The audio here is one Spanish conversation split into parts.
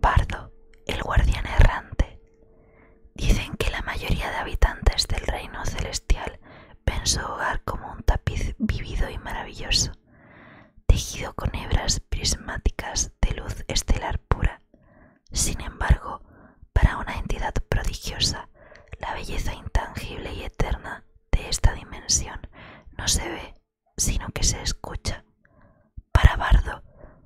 Bardo, el guardián errante. Dicen que la mayoría de habitantes del reino celestial pensó hogar como un tapiz vivido y maravilloso, tejido con hebras prismáticas de luz estelar pura, sin embargo, para una entidad prodigiosa, la belleza intangible y eterna de esta dimensión no se ve, sino que se escucha. Para Bardo,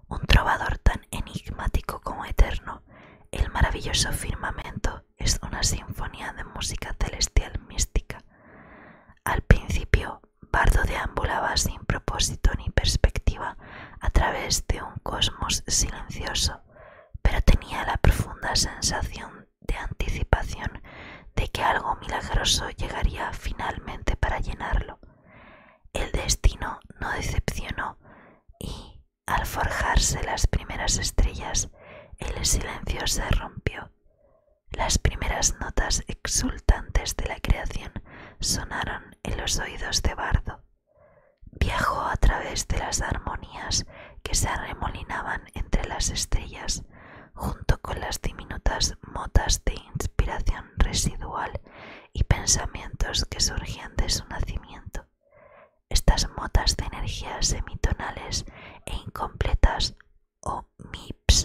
un trovador tan enigmático como eterno, el maravilloso firmamento es una sinfonía de música celestial mística. Al principio Bardo deambulaba sin propósito ni perspectiva a través de un cosmos silencioso, pero tenía la profunda sensación de anticipación de que algo milagroso llegaría finalmente para llenarlo. El destino no decepcionó y, al forjarse las primeras estrellas, el silencio se rompió. Las primeras notas exultantes de la creación sonaron en los oídos de Bardo. Viajó a través de las armonías que se arremolinaban entre las estrellas, junto con las diminutas motas de inspiración residual y pensamientos que surgían de su nacimiento. Estas motas de energías semitonales e incompletas o MIPS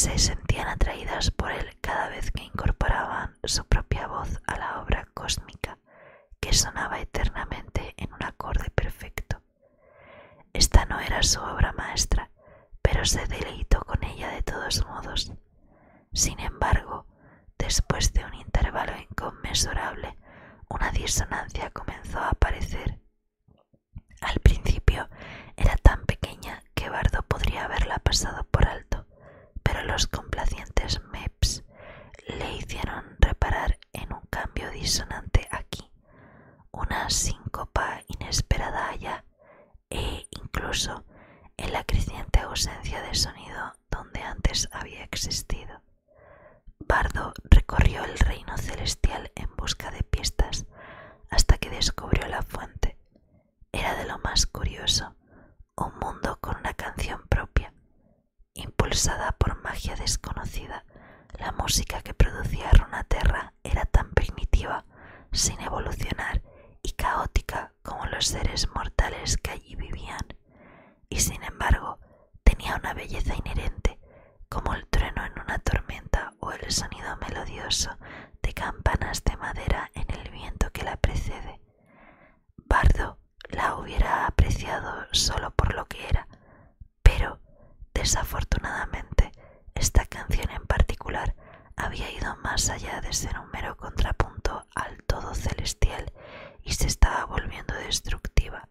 se sentían atraídas por él cada vez que incorporaban su propia voz a la obra cósmica que sonaba eternamente en un acorde perfecto. Esta no era su obra maestra, pero se deleitó con ella de todos modos. Sin embargo, después de un intervalo inconmensurable, una disonancia comenzó a aparecer al principio era tan pequeña que Bardo podría haberla pasado por alto, pero los complacientes MEPs le hicieron reparar en un cambio disonante aquí, una síncopa inesperada allá e incluso en la creciente ausencia de sonido donde antes había existido. Bardo recorrió el reino celestial en busca de pistas hasta que descubrió la fuente. Era de lo más curioso, un mundo con una canción propia. Impulsada por magia desconocida, la música que producía Runaterra era tan primitiva, sin evolucionar y caótica como los seres mortales que allí vivían, y sin embargo tenía una belleza inherente como el trueno en una tormenta o el sonido melodioso de campanas de madera en el viento que la precede. Bardo la hubiera apreciado solo por lo que era, pero desafortunadamente esta canción en particular había ido más allá de ser un mero contrapunto al todo celestial y se estaba volviendo destructiva.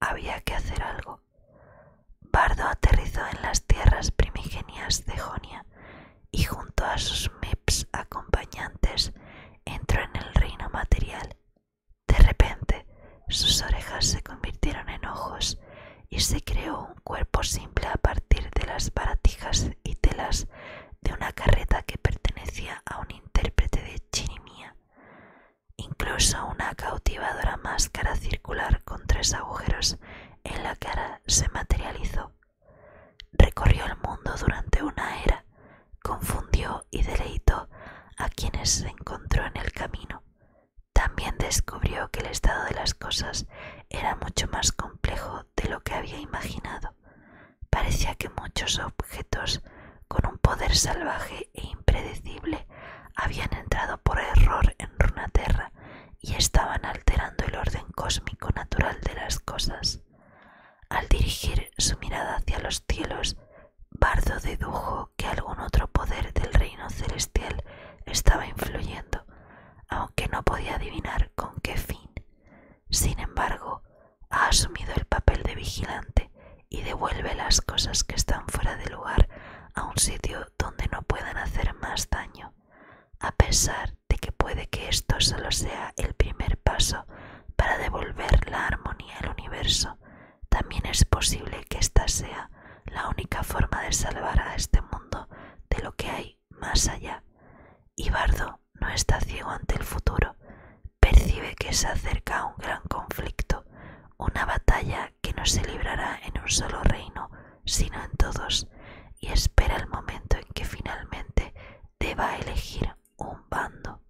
Había que hacer algo. Bardo aterrizó en las tierras primigenias de Jonia y junto a sus meps acompañantes entró en el reino material. De repente, sus orejas se convirtieron en ojos y se creó un cuerpo simple a partir de las baratijas y telas de una carreta que pertenecía a un intérprete de chirimía. Incluso una cautivadora máscara circular con tres agujeros en la cara se materializó. Recorrió el mundo durante una era, confundió y deleitó a quienes se encontró en el camino. También descubrió que el estado de las cosas era mucho más complejo de lo que había imaginado. Parecía que muchos objetos con un poder salvaje e impredecible habían entrado por error en Runaterra y estaban alterando el orden cósmico natural de las cosas. Al dirigir su mirada hacia los cielos, Bardo dedujo que algún otro poder del reino celestial estaba influyendo, aunque no podía adivinar con qué fin. Sin embargo, ha asumido el papel de vigilante y devuelve las cosas que están fuera de lugar a un sitio donde no puedan hacer más daño, a pesar de que puede que esto solo sea el primer paso para devolver la armonía al universo, también es posible que esta sea la única forma de salvar a este mundo de lo que hay más allá. Y no está ciego ante el futuro, percibe que se acerca un gran conflicto, una batalla que no se librará en un solo reino, sino en todos, y espera el momento en que finalmente deba elegir un bando.